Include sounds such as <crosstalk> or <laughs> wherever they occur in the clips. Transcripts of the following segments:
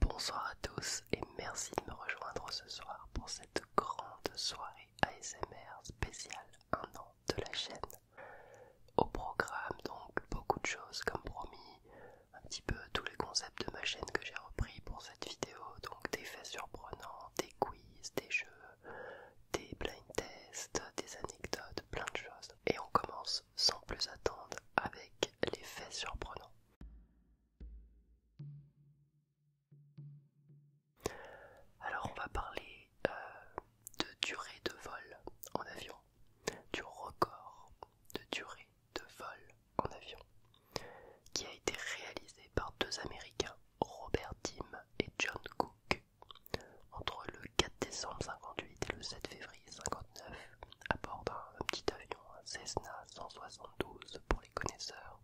Bonsoir à tous et merci de me rejoindre ce soir pour cette grande soirée ASMR spéciale un an de la chaîne. Au programme donc beaucoup de choses comme promis, un petit peu tous les concepts de ma chaîne que j'ai repris pour cette vidéo, donc des faits surprenants, des quiz, des jeux, des blind tests, des anecdotes, plein de choses. Et on commence sans plus attendre avec les faits surprenants. Alors on va parler euh, de durée de vol en avion, du record de durée de vol en avion qui a été réalisé par deux Américains Robert Tim et John Cook. Entre le 4 décembre 58 et le 7 février 59, à bord d'un petit avion, Cessna 172 pour les connaisseurs.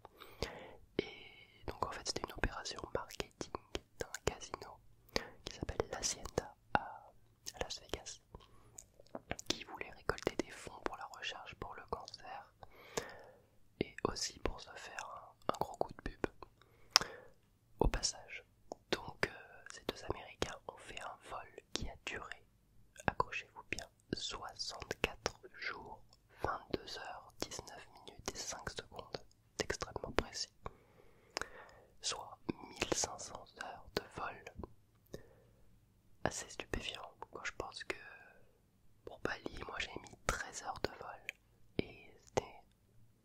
Et donc en fait c'était une opération marketing d'un casino qui s'appelle La l'Hacienda à Las Vegas, qui voulait récolter des fonds pour la recherche pour le cancer et aussi pour se faire un, gros coup de pub au passage. Donc euh, ces deux Américains ont fait un vol qui a duré, accrochez-vous bien, 64 jours, 22 heures, 19 minutes et 5 secondes, c'est extrêmement précis, soit 1500 heures de vol. Assez stupéfiant, quand je pense que pour Bali, moi j'ai mis 13 heures de vol et c'était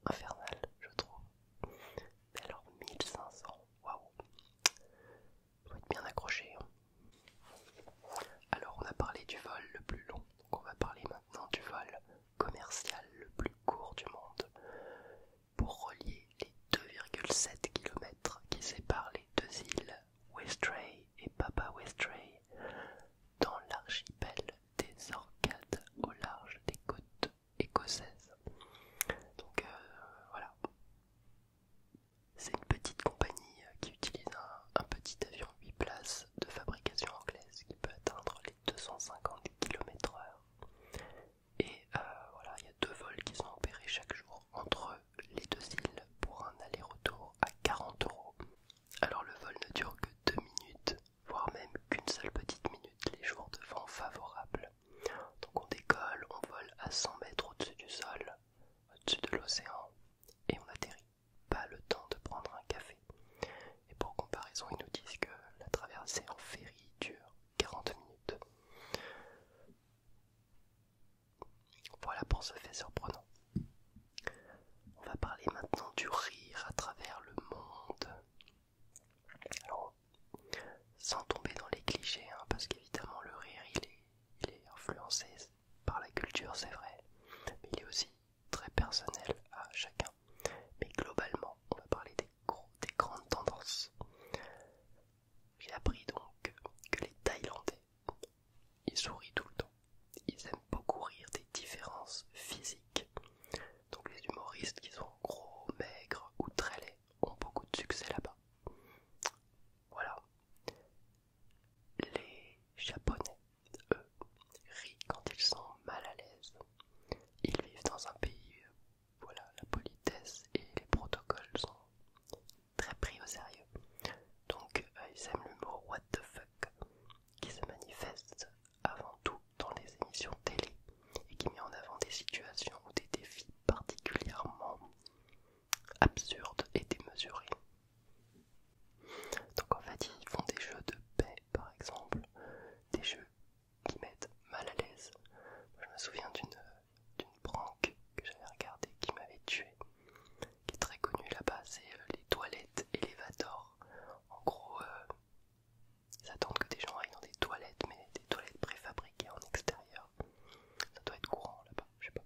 infernal, je trouve. Mais alors 1500, waouh! Faut être bien accroché. Hein. Alors on a parlé du vol le plus long, donc on va parler maintenant du vol commercial le plus court du monde pour relier les 2,7 km qui séparent les deux îles Westray et Papa Westray dans l'archipel des Orcades au large des côtes écossaises. Donc euh, voilà. C'est une petite compagnie euh, qui utilise un, petit avion 8 places de fabrication anglaise qui peut atteindre les 250 km/h. Et euh, voilà, il y a deux vols qui sont opérés chaque jour entre les deux îles pour un aller-retour à 40 euros. Alors le vol ne dure que 2 minutes, voire même qu'une seule petite minute, les jours de vent favorables. Donc on décolle, on vole à 100 mètres au-dessus du sol, au-dessus de l'océan, et on atterrit. Pas le temps de prendre un café. Et pour comparaison, ils nous disent que la traversée en ferry dure 40 minutes. Voilà pour ce fait surprenant. On va parler maintenant du rire à travers le monde. Alors, sans tomber dans les clichés, hein, parce qu'évidemment le rire il est, influencé par la culture, c'est vrai, mais il est aussi très personnel à chacun. Mais globalement, on va parler des, des grandes tendances. J'ai appris donc que les Thaïlandais ils sourient tout le temps. Ils aiment beaucoup rire des différences physiques. Donc les humoristes qui sont gros, maigres ou très laids ont beaucoup de succès là-bas. Voilà. Les Japonais, eux, rient quand ils sont mal à l'aise. Ils vivent dans un pays où euh, voilà, la politesse et les protocoles sont très pris au sérieux. Donc euh, ils aiment l'humour what the fuck qui se manifeste avant tout dans les émissions télé et qui met en avant des situations ou des défis particulièrement absurdes et démesurés. Donc en fait ils font des jeux de paix par exemple, des jeux qui mettent mal à l'aise. Je me souviens d'une prank que j'avais regardée qui m'avait tué qui est très connu là-bas, c'est euh, les toilettes Elevator. En gros, euh, ils attendent que des gens aillent dans des toilettes, mais des toilettes préfabriquées en extérieur. Ça doit être courant là-bas, je sais pas.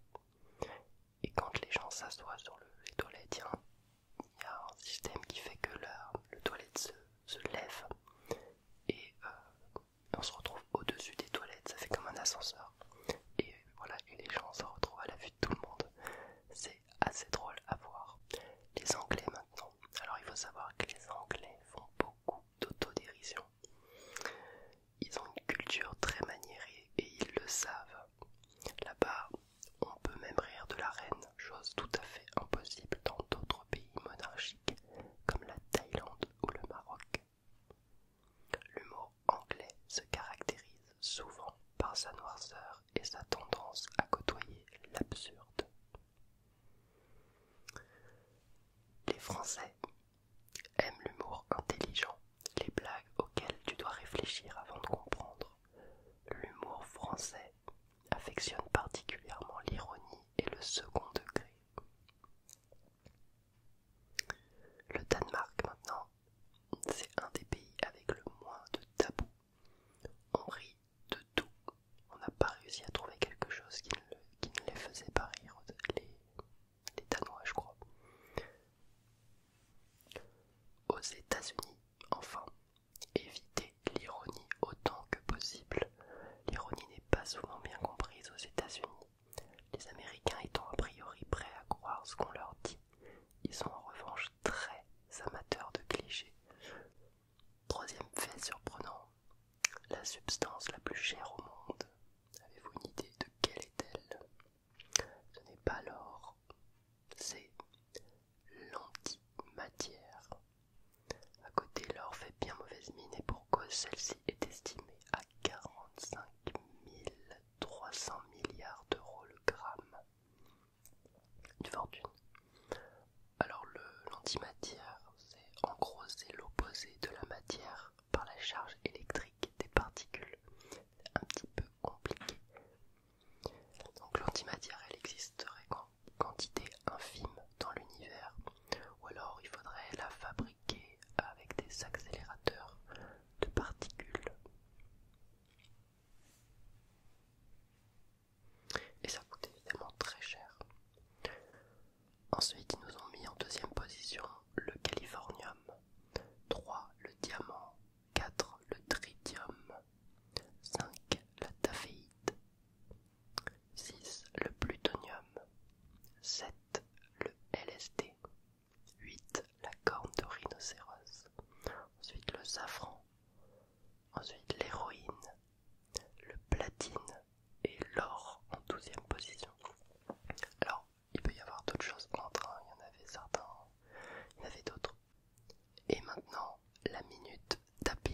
Et quand les gens s'assoient sur les toilettes, il y, a un système qui fait que le toilette se, lève et euh, on se retrouve au-dessus des toilettes, ça fait comme un ascenseur. Et voilà, et les gens se retrouvent à la vue tout le monde. C'est assez drôle à voir. Les Anglais maintenant. Alors il faut savoir que les Anglais font beaucoup d'autodérision. Ils ont une culture très maniérée et ils le savent. Là-bas, on peut même rire de la reine, chose tout à fait impossible dans d'autres pays monarchiques comme la Thaïlande ou le Maroc. L'humour anglais se caractérise souvent par sa noirceur et sa tendance à côtoyer l'absurde. Les Français aiment l'humour intelligent, les blagues auxquelles tu dois réfléchir avant de comprendre. L'humour français affectionne particulièrement l'ironie et le second degré. Le Danemark maintenant c'est un des pays avec le moins de tabous. On rit de tout. On n'a pas réussi à trouver quelque chose qui ne, les faisait pas rire, les, Danois, je crois. Aux États-Unis, enfin, évitez l'ironie autant que possible. L'ironie n'est pas souvent bien comprise aux États-Unis, les Américains étant a priori prêts à croire ce qu'on leur dit ils sont en revanche très amateurs de clichés. Troisième fait surprenant, la substance la plus chère au monde. Avez-vous une idée de quelle est-elle Ce n'est pas l'or, c'est l'antimatière. À côté, l'or fait bien mauvaise mine et pour cause, celle-ci est estimée à 45 000 300 milliards d'euros le gramme. Une fortune. Alors l'antimatière, c'est en gros l'opposé de la matière par la charge électrique des particules. C'est un petit peu compliqué. Donc l'antimatière, elle existerait en quantité infime dans l'univers. Ou alors il faudrait la fabriquer avec des accélérateurs de particules. Et ça coûte évidemment très cher. Ensuite, ils nous ont mis en deuxième position le californium, 3 le diamant, 4 le tritium, 5 la taféite, 6 le plutonium, 7 le LSD, 8. La corne de rhinocéros. Ensuite le safran. Ensuite l'héroïne. Le platine. Et l'or en douzième position. Alors, il peut y avoir d'autres choses entre, hein. il y en avait certains, il y en avait d'autres. Et maintenant, la minute tapping.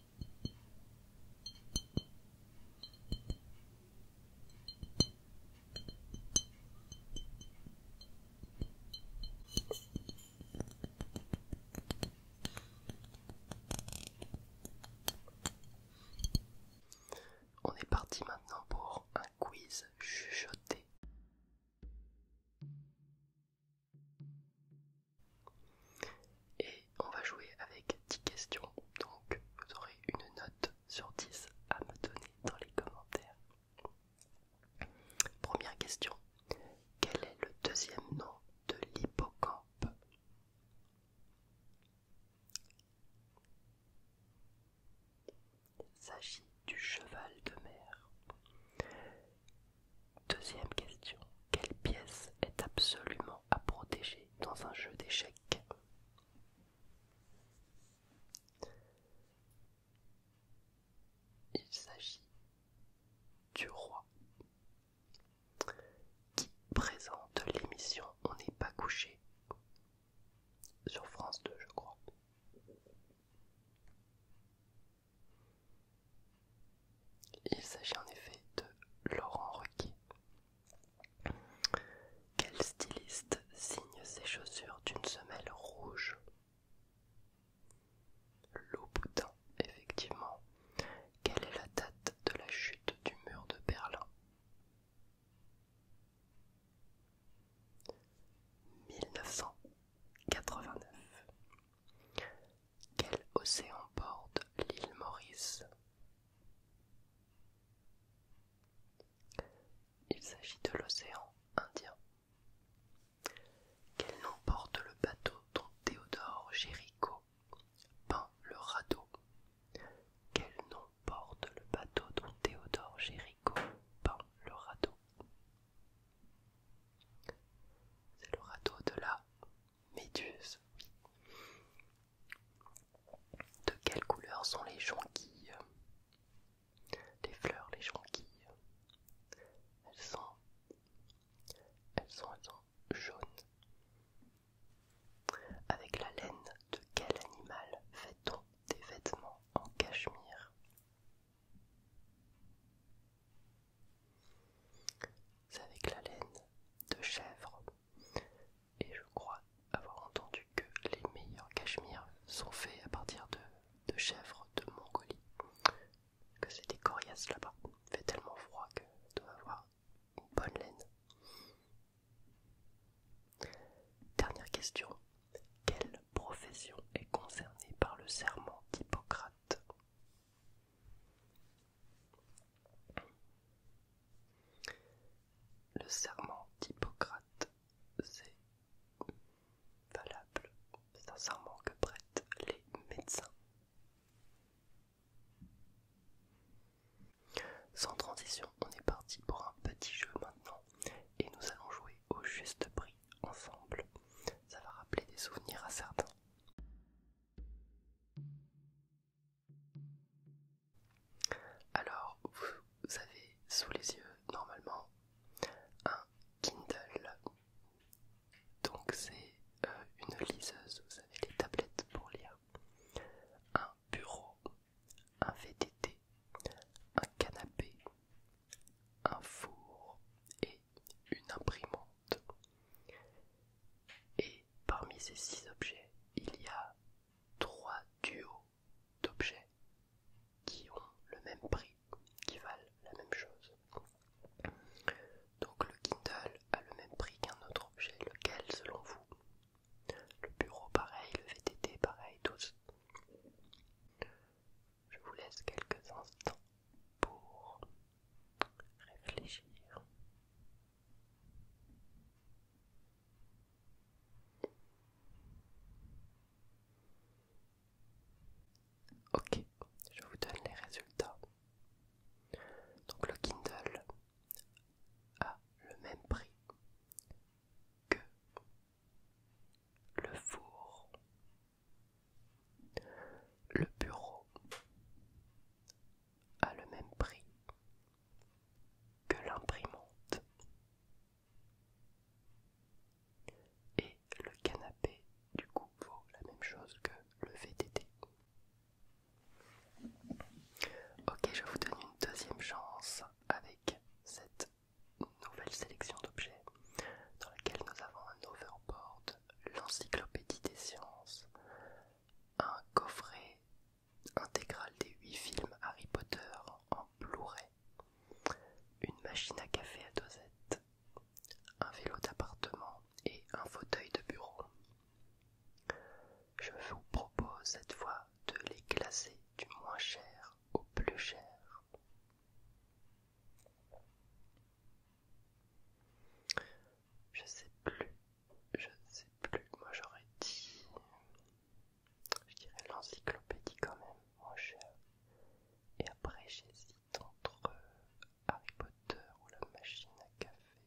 On est parti maintenant pour un quiz chuchoté. Et on va jouer avec 10 questions, donc vous aurez une note sur 10 à me donner dans les commentaires. Première question. Quel est le deuxième nom de l'hippocampe Il s'agit du cheval de mer. Deuxième question. Quelle pièce est absolument à protéger dans un jeu d'échecs Il s'agit du roi qui présente l'émission On n'est pas couché sur France 2 je crois. Il s'agit en effet de Laurent Ruquier. Quel styliste signe ses chaussures d'une semelle rouge Louboutin, effectivement. Quelle est la date de la chute du mur de Berlin 1989. Quel océan porte l'île Maurice Il s'agit de l'océan Indien. Quel nom porte le bateau dont Théodore Géricault peint le radeau Quel nom porte le bateau dont Théodore Géricault peint le radeau c'est le radeau de la Méduse. De quelle couleur sont les jonquilles Les fleurs, les jonquilles. Elles sont, elles sont, elles sont jaunes. Avec la laine de quel animal fait-on des vêtements en cachemire c'est avec la laine de chèvre. Et je crois avoir entendu que les meilleurs cachemires sont faits à partir de, de chèvres de Mongolie. Que c'est des coriaces là-bas. Il fait tellement froid que dois avoir une bonne laine. Dernière question. Quelle profession est concernée par le serment d'Hippocrate le serment d'Hippocrate, c'est valable, c'est un serment que prêtent les médecins. Sans transition, on est parti pour un petit jeu maintenant et nous allons jouer au juste prix ensemble. Ça va rappeler des souvenirs à certains. Alors, vous avez sous les yeux normalement un Kindle. Donc c'est euh, une liseuse, vous avez les tablettes pour lire. Un bureau, un VTT, un canapé, un four et une imprimante. Et parmi ces six objets, il y a trois duos d'objets qui ont le même prix, qui valent la même chose. Donc le Kindle a le même prix qu'un autre objet, lequel selon vous Le bureau pareil, le VTT pareil, tous je vous laisse quelques instants pour réfléchir. Ok, je vous donne les résultats. Donc le Kindle a le même prix que le four le bureau a le même prix que l'imprimante. Et le canapé, du coup, vaut la même chose que le VTT. Ok, je vous donne une deuxième chance avec cette nouvelle sélection d'objets dans laquelle nous avons un overboard, l'encyclopédie des sciences, un coffret intégral des 8 films Harry Potter en Blu-ray, une machine à café à dosette, un vélo d'appartement et un fauteuil de bureau. Je vous propose cette fois de les classer du moins cher au plus cher. Je sais plus, je sais plus, moi j'aurais dit. Je dirais l'encyclopédie quand même, mon cher. Et après j'hésite entre euh, Harry Potter ou la machine à café.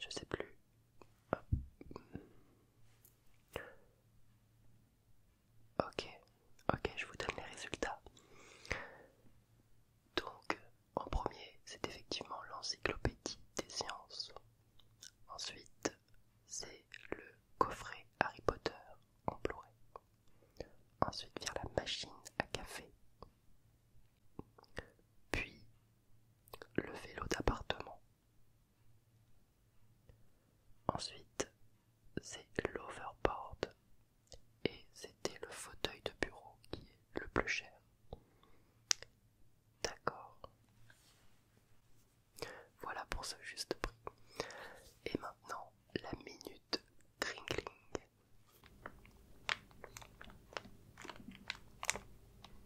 Je sais plus. Ah. Ok, ok, je vous donne les résultats. Donc, en premier, c'est effectivement l'encyclopédie des sciences. Ensuite, c'est le coffret Harry Potter en Ensuite, vient la machine à café. Puis, le vélo d'appartement. Ensuite, c'est l'overboard et c'était le fauteuil de bureau qui est le plus cher. D'accord. Voilà pour ce juste prix. Et maintenant, la minute crinkling.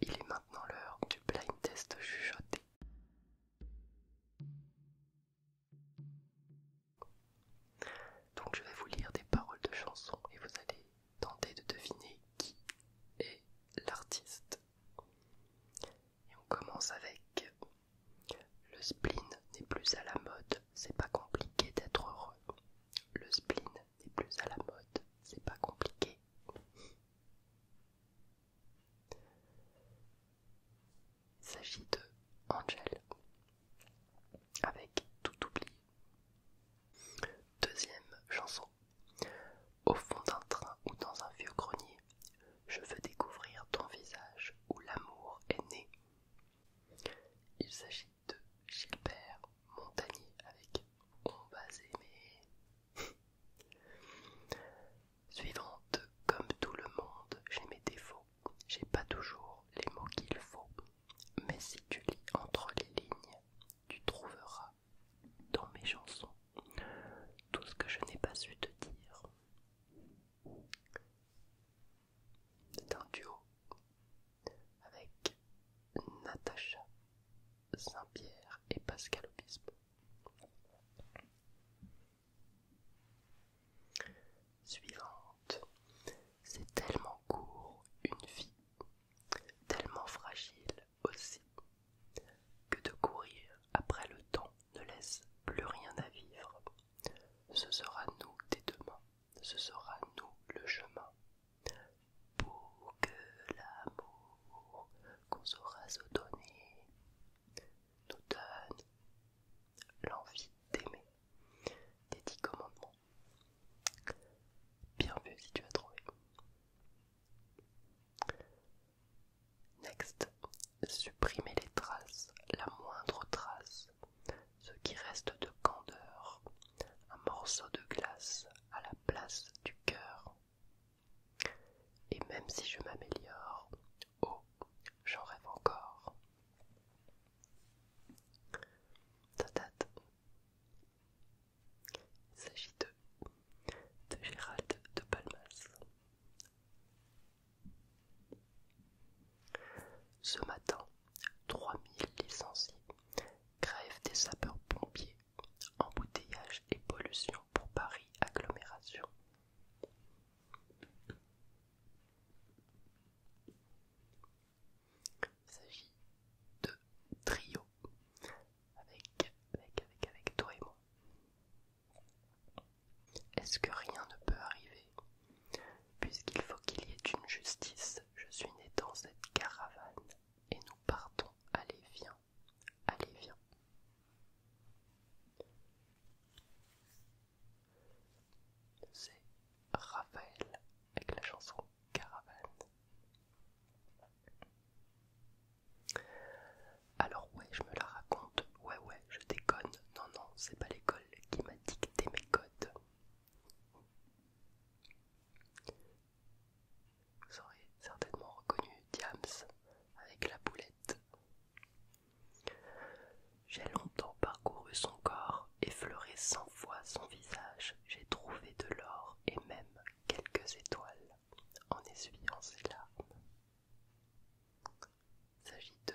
Il est maintenant l'heure du blind test chuchoté. Donc je vais vous lire des paroles de chansons et vous allez tenter de deviner qui est l'artiste. Et on commence avec le spleen n'est plus à la mode, c'est pas compliqué d'être heureux. Le spleen n'est plus à la mode, c'est pas compliqué. Il s'agit de Angel avec tout oublié. Deuxième chanson au fond d'un train ou dans un vieux grenier, je veux découvrir ton visage où l'amour est né. Il s'agit de Gilbert Montagnier avec On va aimer. Suivante, comme tout le monde, j'ai mes défauts, j'ai pas toujours les mots qu'il faut mais si tu lis entre les lignes, tu trouveras dans mes chansons tout ce que je n'ai pas su te dire. C'est un duo avec Natacha Saint-Pierre et Pascal Obispo. Suivante, c'est tellement court, une vie tellement fragile aussi, que de courir après le temps ne laisse plus rien à vivre. Ce sera nous des demain, ce sera nous le chemin, pour que l'amour qu'on saura se donner nous donne l'envie d'aimer. Des dix commandements, Bien vu si tu as trouvé. Next, supprimer les traces, la moindre trace, ce qui reste de candeur, un morceau de glace à la place du cœur. Et même si je m'améliore, oh, j'en rêve encore. Ta il s'agit de, Gérald de Palmas. Ce matin, 3000 licenciés grèvent des sapeurs-pompiers, embouteillage et pollution pour Paris agglomération. Il s'agit de trio avec, avec, avec, toi et moi. Est-ce que rien ne peut arriver Puisqu'il faut qu'il y ait une justice, je suis né dans cette caravane et nous partons. Allez, viens, allez, viens. C'est Raphaël avec la chanson caravane. Alors ouais, je me la raconte, ouais ouais, je déconne, non non, c'est pas l'école qui m'a dicté mes codes. Vous aurez certainement reconnu Diams avec la boulette. J'ai longtemps parcouru son corps effleuré cent fois son visage. J'ai trouvé de l'or et même quelques étoiles en essuyant ses larmes. Il S'agit de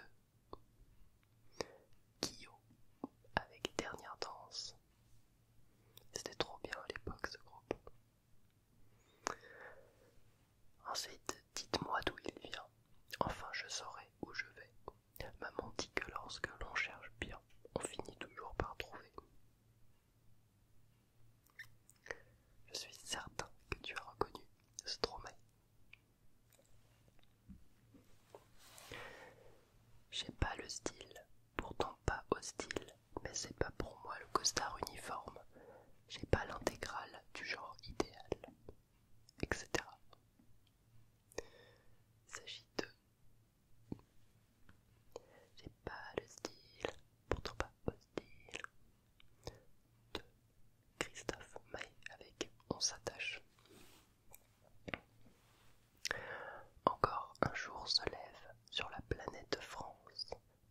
Kyo avec Dernière Danse. C'était trop bien à l'époque ce groupe. Ensuite, dites-moi d'où il vient. Enfin, je saurai où je vais. Maman dit que lorsque l'on cherche bien, on finit toujours par trouver. Je suis certain que tu as reconnu Stromae. J'ai pas le style, pourtant pas hostile, mais c'est pas pour moi le costard uniforme. J'ai pas l'intégrale du genre idéal, etc. Il s'agit de j'ai pas le style, pourtant pas hostile, de Christophe May avec On s'attache. Encore un jour se lève sur la planète France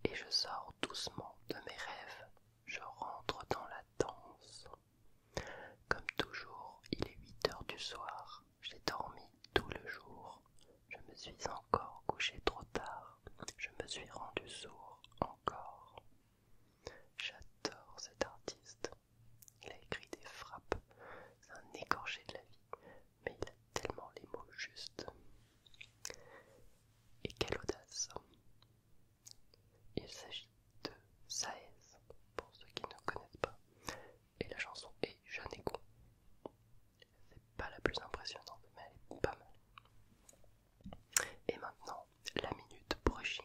et je sors doucement de mes rêves. Je rentre dans la danse. Comme toujours, il est 8 heures du soir j'ai dormi tout le jour. Je me suis encore couché trop tard. Je me suis rendu sourd encore. J'adore cet artiste. Il a écrit des frappes. C'est un écorché de la vie. Mais il a tellement les mots justes. Et quelle audace. Il s'agit de Saez, pour ceux qui ne connaissent pas et la chanson est jeune et C'est pas la plus impressionnante, mais elle est pas mal. Et maintenant, la minute brushing.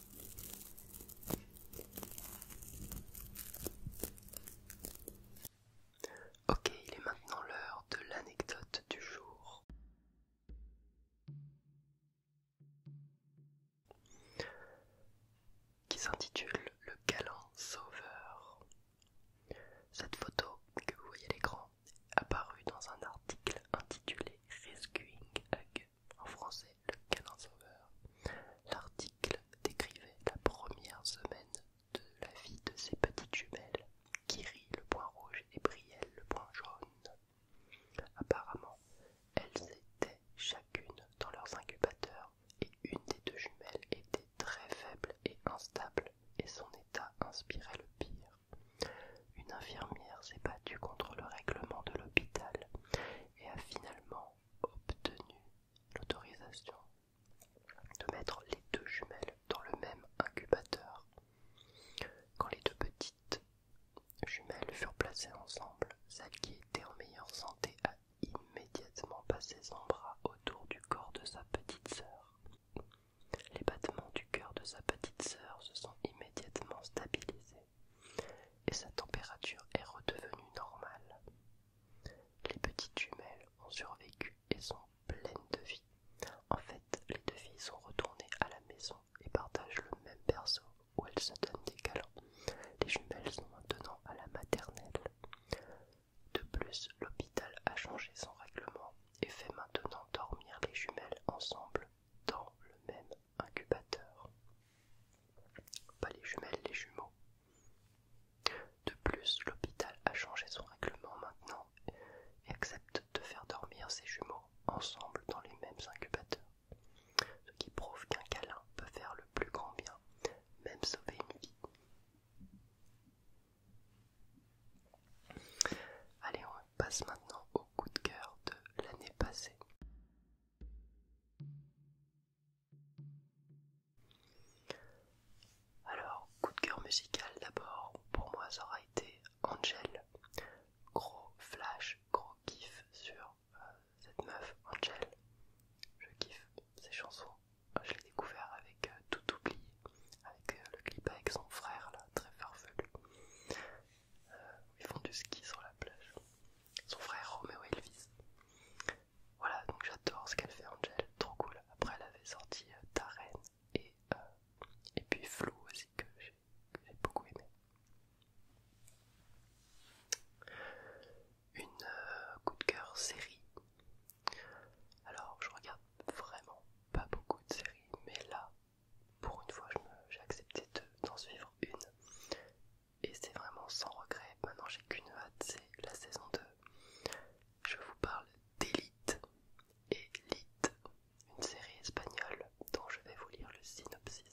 Ok, il est maintenant l'heure de l'anecdote du jour. Qui s'intitule Le galant sauveur. Cette photo que vous voyez à l'écran est apparue dans un article intitulé Rescuing a en français Le canon. Sauveur, l'article décrivait la première semaine de la vie de ces petites jumelles, Kiri le point rouge et Brielle le point jaune. Apparemment, elles étaient chacune dans leurs incubateurs et une des deux jumelles était très faible et instable et son état inspirait le pire. Une infirmière s'est battue contre le règlement de l'hôpital et a finalement obtenu l'autorisation de mettre les deux jumelles dans le même incubateur. Quand les deux petites jumelles furent placées ensemble, celle qui était en meilleure santé a immédiatement passé son bras autour du corps de sa petite sœur. Les battements du cœur de sa petite sœur se sont immédiatement stabilisés et sa température est redevenue normale. Les petites jumelles ont survécu et sont pleines de vie. En fait, les deux filles sont retournées à la maison et partagent le même berceau où elles se donnent des câlins. Les jumelles sont maintenant à la maternelle. De plus, l'hôpital a changé son règlement et fait maintenant dormir les jumelles ensemble dans le même incubateur. Pas les jumelles, les jumeaux. De plus, l'hôpital a changé son règlement maintenant et accepte de faire dormir ses jumeaux ensemble dans les mêmes incubateurs. Ce qui prouve qu'un câlin peut faire le plus grand bien, même sauver une vie. Allez, passe maintenant au coup de cœur de l'année passée. Alors, coup de cœur musical d'abord, pour moi ça aura été Angel. Gros flash, gros kiff sur euh, cette meuf Angel. Je kiffe ses chansons. Je l'ai découvert avec euh, Tout oublié, avec euh, le clip avec son frère là, très farfelu où ils font du ski sur la plage. Son frère Romeo Elvis. Voilà, donc j'adore ce qu'elle fait Angel, trop cool. Après elle avait sorti euh, Tarène et, euh, et puis Flo aussi que j'ai beaucoup aimé. Une euh, coup de cœur série. Alors je regarde vraiment pas beaucoup de séries, mais là pour une fois j'ai accepté d'en suivre une et c'est vraiment sans regret maintenant j'ai qu'une hâte c'est la saison 2 je vous parle d'Elite. une série espagnole dont je vais vous lire le synopsis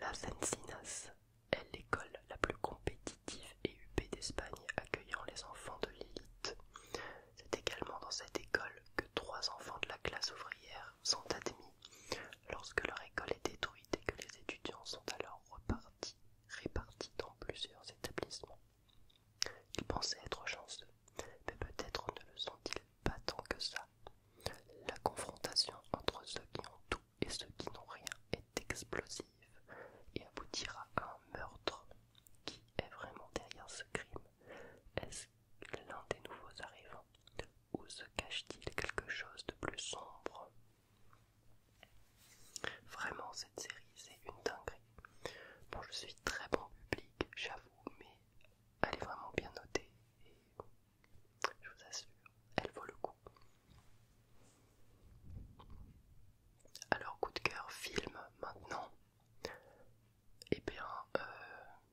La sensinas est l'école la plus compétitive et huppée d'Espagne accueillant les enfants de l'élite c'est également dans cette école que trois enfants de la classe ouvrière sont admis lorsque leur école est détruite et que les étudiants sont alors repartis, répartis dans plusieurs établissements. Ils pensaient être chanceux, mais peut-être ne le sont-ils pas tant que ça. La confrontation entre ceux qui ont tout et ceux qui n'ont rien est explosive et aboutira à un meurtre. Qui est vraiment derrière ce crime l'un des nouveaux arrivants Où se cache-t-il quelque chose de plus sombre Vraiment, cette série, c'est une dinguerie. Bon, je suis très bon public, j'avoue, mais elle est vraiment bien notée et je vous assure, elle vaut le coup. Alors, coup de cœur, film maintenant eh bien euh,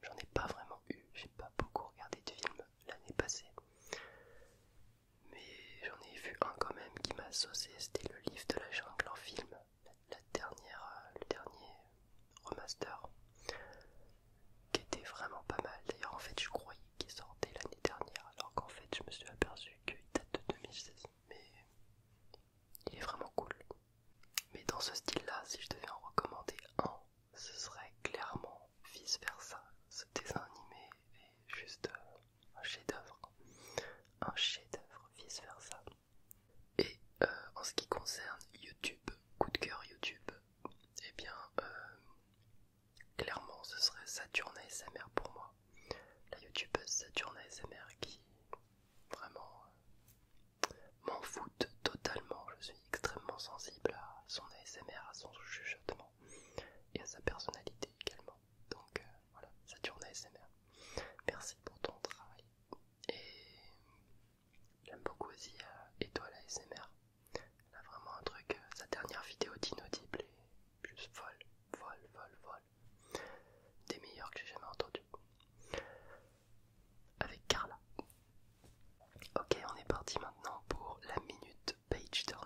j'en ai pas vraiment eu, j'ai pas beaucoup regardé de films l'année passée, mais j'en ai vu un quand même qui m'a saucé, c'était le livre de la jungle en film, dernière, euh, le dernier remaster, qui était vraiment pas mal. D'ailleurs en fait je croyais qu'il sortait l'année dernière alors qu'en fait je me suis aperçu qu'il date de 2016, mais il est vraiment cool. Mais dans ce style-là, si je devais en recommander un, ce serait clairement vice versa. Ce dessin animé est juste euh, un chef-d'œuvre. Un chef-d'œuvre vice versa. Et euh, en ce qui concerne YouTube, coup de cœur YouTube, eh bien, euh, clairement, ce serait Saturne ASMR pour moi. La YouTubeuse Saturne ASMR qui vraiment euh, m'en foutent totalement. Je suis extrêmement sensible à son ASMR, à son chuchotement et à sa personnalité également. Donc euh, voilà, ça tourne ASMR. Merci pour ton travail. Et j'aime beaucoup aussi euh, Étoile ASMR. Elle a vraiment un truc, sa dernière vidéo d'inaudible est juste folle, folle, folle, folle. Des meilleurs que j'ai jamais entendu avec Carla. Ok, on est parti maintenant pour la minute page turning.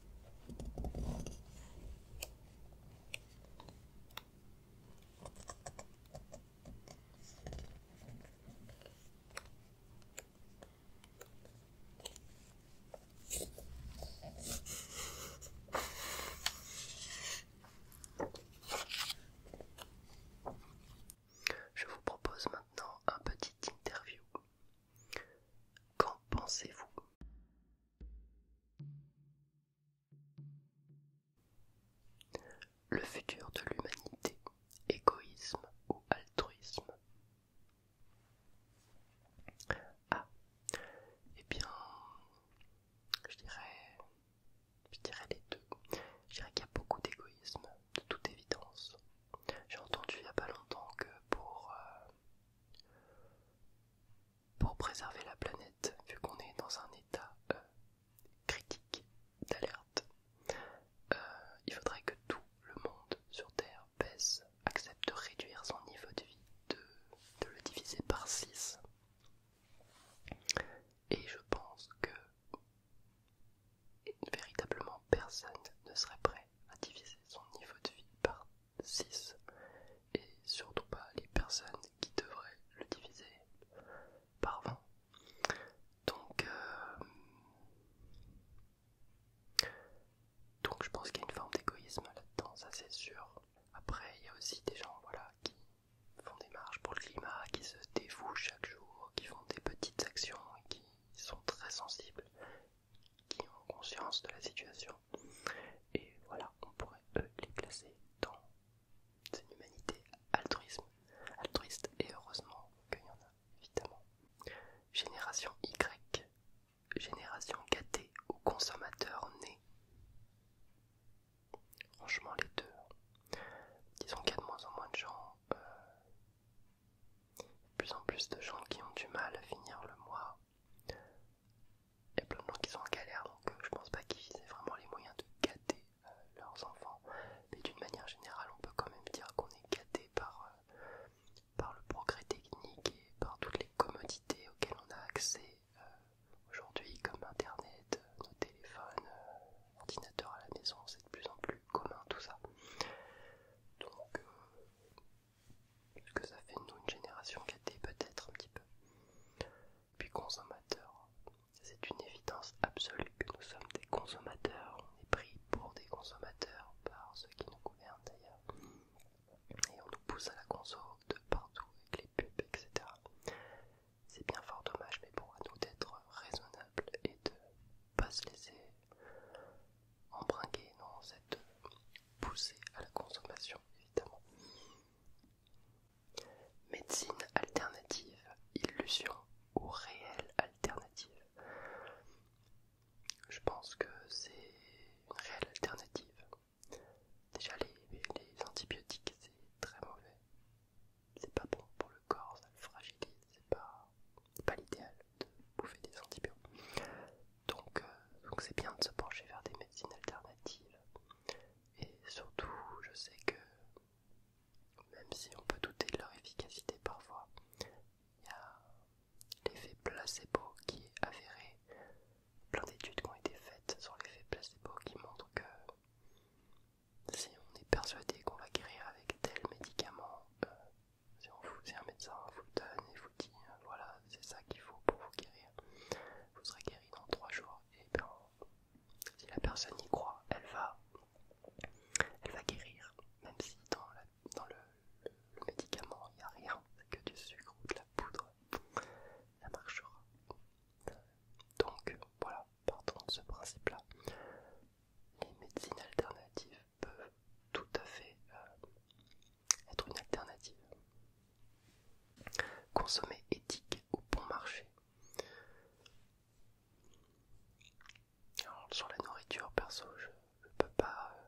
Je vous propose maintenant un petit interview Qu'en pensez-vous Le futur de l'humanité, égoïsme ou altruisme Ah, eh bien, je dirais, je dirais les deux. Je dirais qu'il y a beaucoup d'égoïsme, de toute évidence. J'ai entendu il n'y a pas longtemps que pour euh, pour préserver la planète, vu qu'on est dans un état euh, critique d'alerte, euh, il faudrait que tout le monde sur Terre baisse, accepte de réduire son niveau de vie, de, de le diviser par 6. Et je pense que véritablement personne ne serait prêt à diviser son niveau de vie par 6 et surtout pas les personnes qui devraient le diviser par 20. Donc, euh, donc je pense qu'il y a une forme d'égoïsme là-dedans, ça c'est sûr. Après, il y a aussi des gens voilà, qui font des marches pour le climat, qui se dévouent chaque jour, qui font des petites actions et qui sont très sensibles qui ont conscience de la situation. Et voilà, on pourrait eux, les placer dans une humanité altruisme, altruiste. Et heureusement qu'il y en a, évidemment. Génération Y, génération gâtée ou consommateur nés. Franchement, les deux. Disons qu'il y a de moins en moins de gens euh, de plus en plus de gens qui ont du mal à finir le mois. Il y a plein de gens qui sont en galère, donc euh, je pense pas qu'ils aient vraiment les moyens de gâter euh, leurs enfants. Mais d'une manière générale, on peut quand même dire qu'on est gâté par, euh, par le progrès technique et par toutes les commodités auxquelles on a accès aujourd'hui, comme Internet, nos téléphones, ordinateur à la maison, c'est de plus en plus commun tout ça. Donc, ce que ça fait nous une génération gâtée peut-être un petit peu. Puis consommateurs, c'est une évidence absolue que nous sommes des consommateurs. On est pris pour des consommateurs par ceux qui nous gouvernent d'ailleurs. Et on nous pousse à la conso de partout avec les pubs, etc. C'est bien fort dommage, mais pour nous d'être raisonnables et de pas se laisser embringuer dans cette poussée à la consommation, évidemment. Médecine alternative, illusion ou réelle alternative. Je pense que c'est une réelle alternative. Déjà les, les antibiotiques c'est très mauvais. C'est pas bon pour le corps, ça le fragilise, c'est pas pas l'idéal de bouffer des antibiotiques. Donc euh, donc c'est bien de se pencher vers des médecines alternatives. Et surtout, je sais que même si on peut douter de leur efficacité parfois, il y a l'effet placebo qui est avéré. Plein d'études qui ont été faites sur l'effet placebo qui montrent que si on est persuadé qu'on va guérir avec tel médicament, euh, si un médecin, vous donne et vous dit euh, voilà, c'est ça qu'il faut pour vous guérir. Vous serez guéri dans 3 jours. Et bien, si la personne y croit, elle va, elle va guérir. Même si dans, le, médicament, il n'y a rien, que du sucre ou de la poudre, ça marchera. Donc voilà, partons de ce principe-là. Les médecines alternatives peut tout à fait euh, être une alternative. Consommer éthique ou bon marché. Alors, sur la nourriture, perso, je ne peux pas, euh,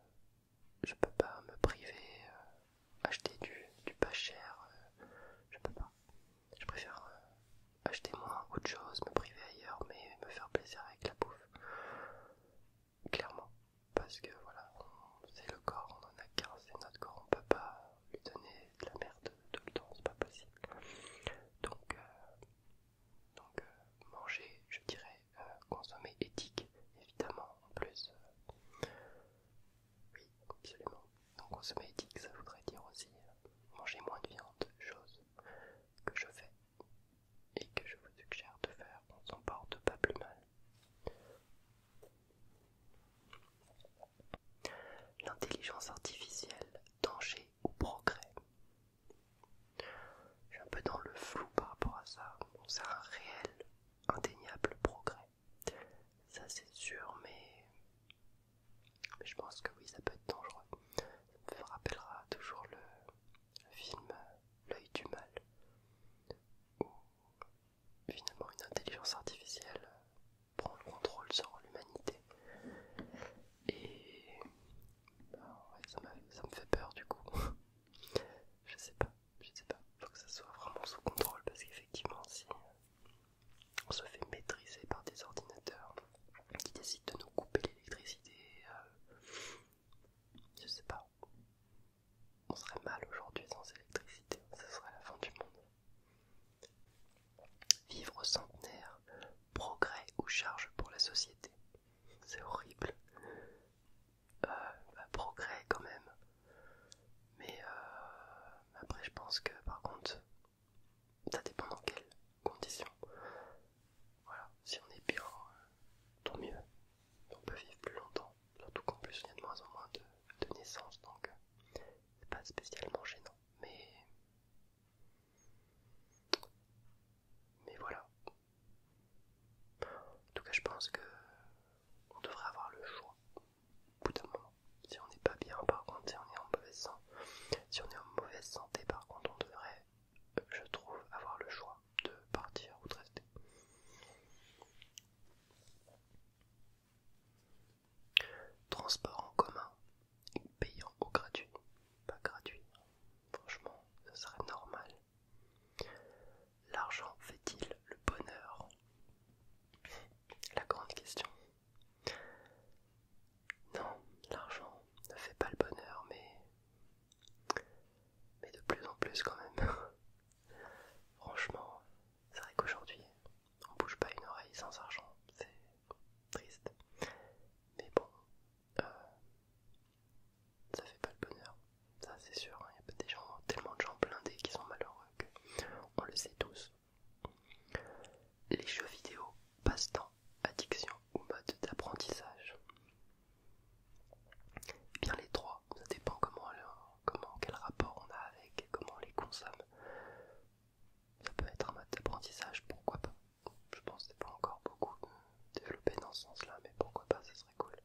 je peux pas me priver, euh, acheter du, pas cher, je peux pas. Je préfère acheter moins autre chose, me priver ailleurs, mais me faire plaisir avec la bouffe clairement, parce que voilà, c'est le corps, on en a qu'un, c'est notre corps, on peut pas lui donner de la merde tout le temps, c'est pas possible. Donc, euh, donc euh, manger, je dirais, euh, consommer éthique, évidemment, en plus. oui, absolument. Donc consommer éthique, ça voudrait dire aussi manger moins de viande, chose que je fais et que je vous suggère de faire, on s'en porte pas plus mal. L'intelligence artificielle, danger ou progrès Je suis un peu dans le flou par rapport à ça. C'est un réel, indéniable progrès. Ça c'est sûr, mais... mais je pense que oui, ça peut être dangereux. Ça me rappellera toujours le, le film L'œil du mal, où finalement une intelligence artificielle prend le contrôle sur l'humanité. Et bah, ça, me fait peur du coup. <laughs> je sais pas, je sais pas. Faut que ça soit vraiment sous contrôle parce qu'effectivement, si on se fait maîtriser par des ordinateurs qui décident de nous couper l'électricité, euh, je sais pas. On serait mal aujourd'hui sans électricité, ce serait la fin du monde. Vivre au centenaire, progrès ou charge pour la société. C'est horrible. Euh, bah, progrès quand même. Mais euh, après je pense que par contre, ça dépend dans quel conditions. Voilà, si on est bien, euh, tant mieux. On peut vivre plus longtemps, surtout qu'en plus il y a de moins en moins de, naissances, donc euh, c'est pas spécialement gênant. Mais, mais voilà. En tout cas, je pense que on devrait avoir le choix au bout d'un moment. Si on n'est pas bien, par contre, on est en si on est en mauvaise santé, par contre, on devrait, je trouve, avoir le choix de partir ou de rester. Transport en commun, payant au gratuit, pas gratuit, franchement, ce serait normal. L'argent fait-il le bonheur La grande question. Non, l'argent ne fait pas le bonheur, mais mais de plus en plus quand même. <laughs> Franchement, c'est vrai qu'aujourd'hui, on bouge pas une oreille sans argent, c'est triste. Mais bon, euh, ça fait pas le bonheur, ça c'est sûr. Hein. Il y a des gens, tellement de gens blindés qui sont malheureux que on le sait tous. Les jeux vidéo, passent temps addiction ou mode d'apprentissage Eh bien les trois, ça dépend comment, comment, quel rapport on a avec et comment on les consomme. Ça peut être un mode d'apprentissage, pourquoi pas. Je pense que c'est pas encore beaucoup développé dans ce sens-là, mais pourquoi pas, ça serait cool.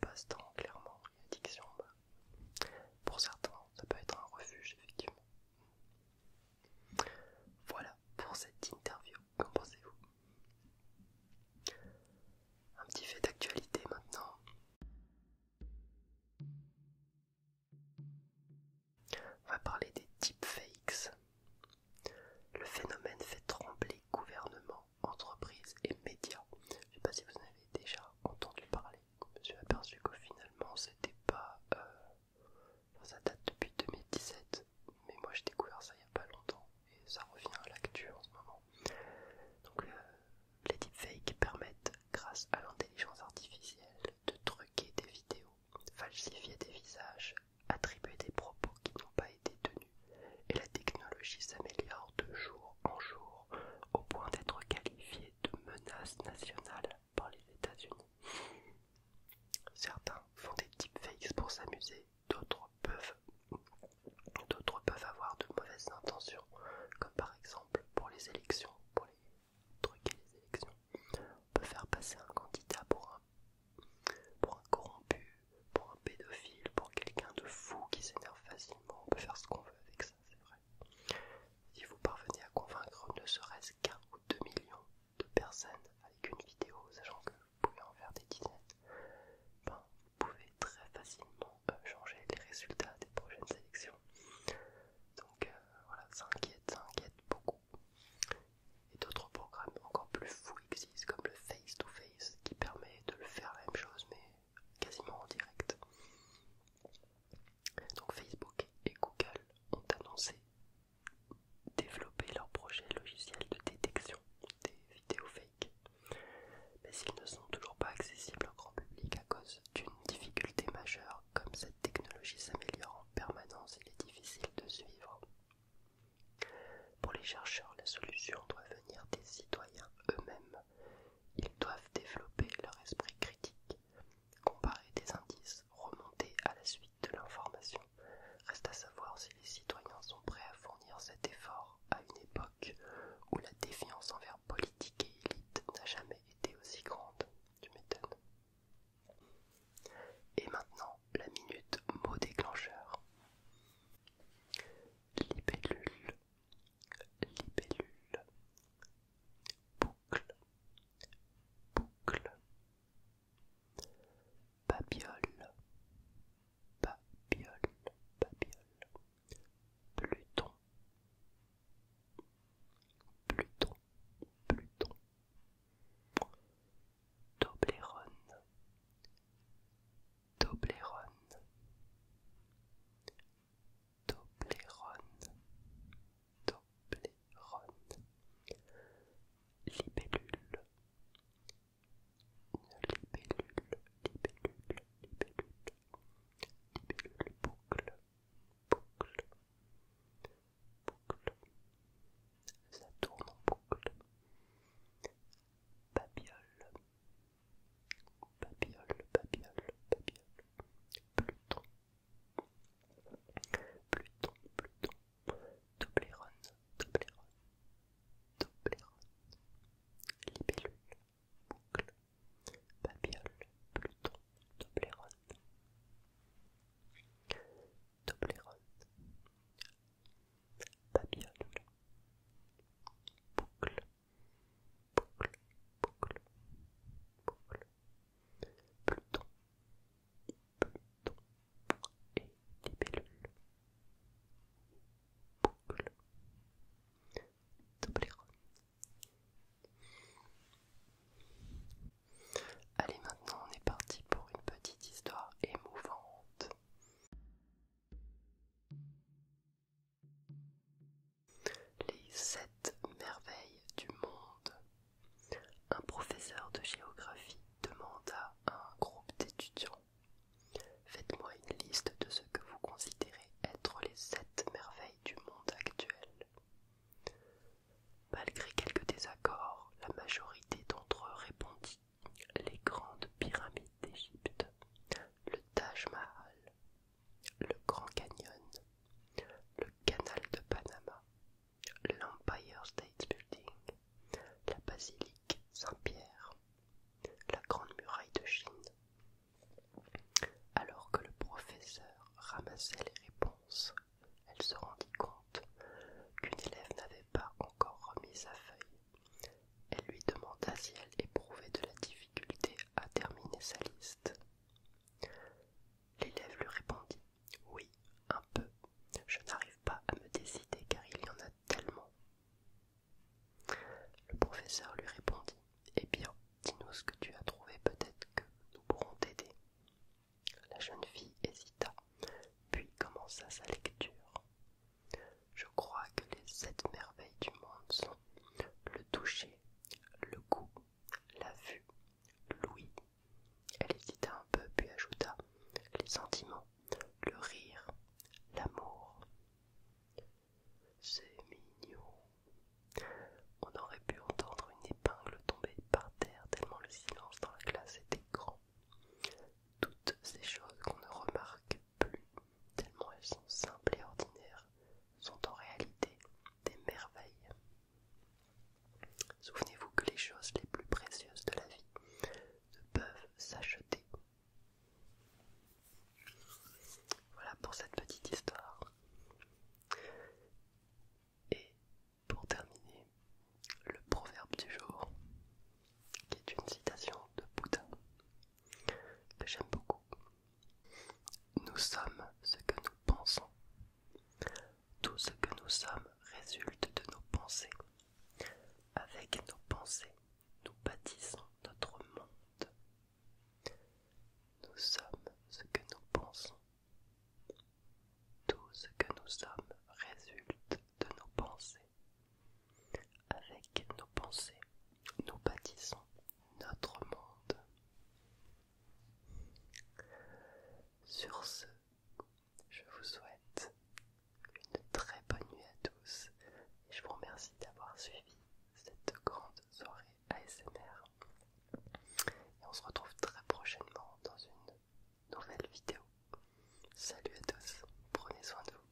Passe-temps, clairement, addiction. Bah. Pour certains, ça peut être un refuge, effectivement. Voilà pour cette interview. Qu'en pensez-vous Un petit fait d'actualité maintenant. On va parler des deepfakes. Le phénomène fait trembler gouvernement, entreprises et médias. Je ne sais pas si vous en avez déjà entendu parler. Je me suis aperçu que finalement, c'était pas euh, ça date depuis 2017, mais moi j'ai découvert ça il n'y a pas longtemps et ça revient à l'actu en ce moment. Donc, euh, les deepfakes permettent, grâce à l'intelligence artificielle, de truquer des vidéos, falsifier des visages, attribuer des propos qui n'ont pas été tenus, et la technologie s'améliore de jour en jour au point d'être qualifiée de menace nationale par les États-Unis. Certains font des deepfakes pour s'amuser, d'autres peuvent, avoir de mauvaises intentions, comme par exemple pour les élections, pour les les élections. On peut faire passer un candidat pour un, pour un corrompu, pour un pédophile, pour quelqu'un de fou qui s'énerve facilement. On peut faire ce qu'on veut avec ça, c'est vrai. Si vous parvenez à convaincre ne serait-ce qu'un ou deux millions, de personnes avec une vidéo, sachant que vous pouvez en faire des dizaines, vous pouvez très facilement euh, changer les résultats des prochaines sélections. Donc euh, voilà, ça inquiète, ça inquiète beaucoup. Et d'autres programmes encore plus fous existent, comme le face-to-face, -face, qui permet de le faire la même chose, mais quasiment en direct. Donc Facebook et Google ont annoncé développer leur projet logiciel de détection des vidéos fake, mais ils ne sont toujours pas accessibles au grand public à cause d'une difficulté majeure, comme cette technologie s'améliore en permanence, il est difficile de suivre. Pour les chercheurs, la solution doit venir des citoyens eux-mêmes. Ils doivent développer leur esprit critique, comparer des indices, remonter à la suite de l'information. Reste à savoir si les citoyens sont prêts à fournir cet effort à une époque où la défiance envers politique et élite n'a jamais été aussi grande. Tu m'étonnes. Et maintenant, la minute mot déclencheur. Libellule, libellule, boucle, boucle, Babiole, Babiole, Babiole, Pluton, Pluton, Pluton, Toblerone, Toblerone, Toblerone, Toblerone. Libellule. Libellule, libellule, libellule. Libellule boucle, boucle, boucle. Ça tourne en boucle. Babiole. Babiole, babiole, babiole. Pluton. Pluton, Pluton, Toblerone, Toblerone, Toblerone, Libellule, Boucle, Babiole, Pluton, Toblerone, Toblerone, Babiole, Boucle, Boucle, Boucle, Boucle, Pluton, et Allez, maintenant on est parti pour une petite histoire émouvante. Les sept merveilles du monde. Un professeur de géographie demanda à un groupe d'étudiants Faites-moi une liste de ce que vous considérez être les sept merveilles du monde actuel. Malgré quelques désaccords, la majorité d'entre eux répondit Les grandes pyramides d'Égypte, le Taj Mahal, le Grand Canyon, le canal de Panama, l'Empire State Building, la basilique Saint-Pierre, la Grande Muraille de Chine. Alors que le professeur ramassait les réponses, elle se rendit compte qu'une élève n'avait pas encore remis sa feuille. Elle lui demanda si elle éprouvait de la difficulté à terminer sa liste. L'élève lui répondit Oui, un peu. Je n'arrive pas à me décider car il y en a tellement. Le professeur lui répondit Eh bien, dis-nous ce que tu as trouvé, peut-être que nous pourrons t'aider. La jeune fille hésita, puis commença sa lecture. Je crois que les sept merveilles du monde sont le toucher, le goût, la vue, Louis. Elle hésita un peu, puis ajouta les sentiments, le rire, l'amour. C'est mignon. On aurait pu entendre une épingle tomber par terre tellement le silence dans la classe était grand. Toutes ces choses qu'on ne remarque plus, tellement elles sont simples et ordinaires, sont en réalité des merveilles. Souvenez-vous que les choses les plus précieuses de la vie ne peuvent s'acheter. Voilà pour cette petite histoire. Et pour terminer, le proverbe du jour, qui est une citation de Bouddha, que j'aime beaucoup. Nous sommes ce que nous pensons. Tout ce que nous sommes résulte de nos pensées. Avec nos pensées, nous bâtissons notre monde. Nous sommes ce que nous pensons. Tout ce que nous sommes résulte de nos pensées. Avec nos pensées, nous bâtissons notre monde. Sur ce, je vous souhaite une très bonne nuit à tous et je vous remercie d'avoir suivi cette grande soirée ASMR. Et on se retrouve très prochainement dans une nouvelle vidéo. Salut à tous, prenez soin de vous.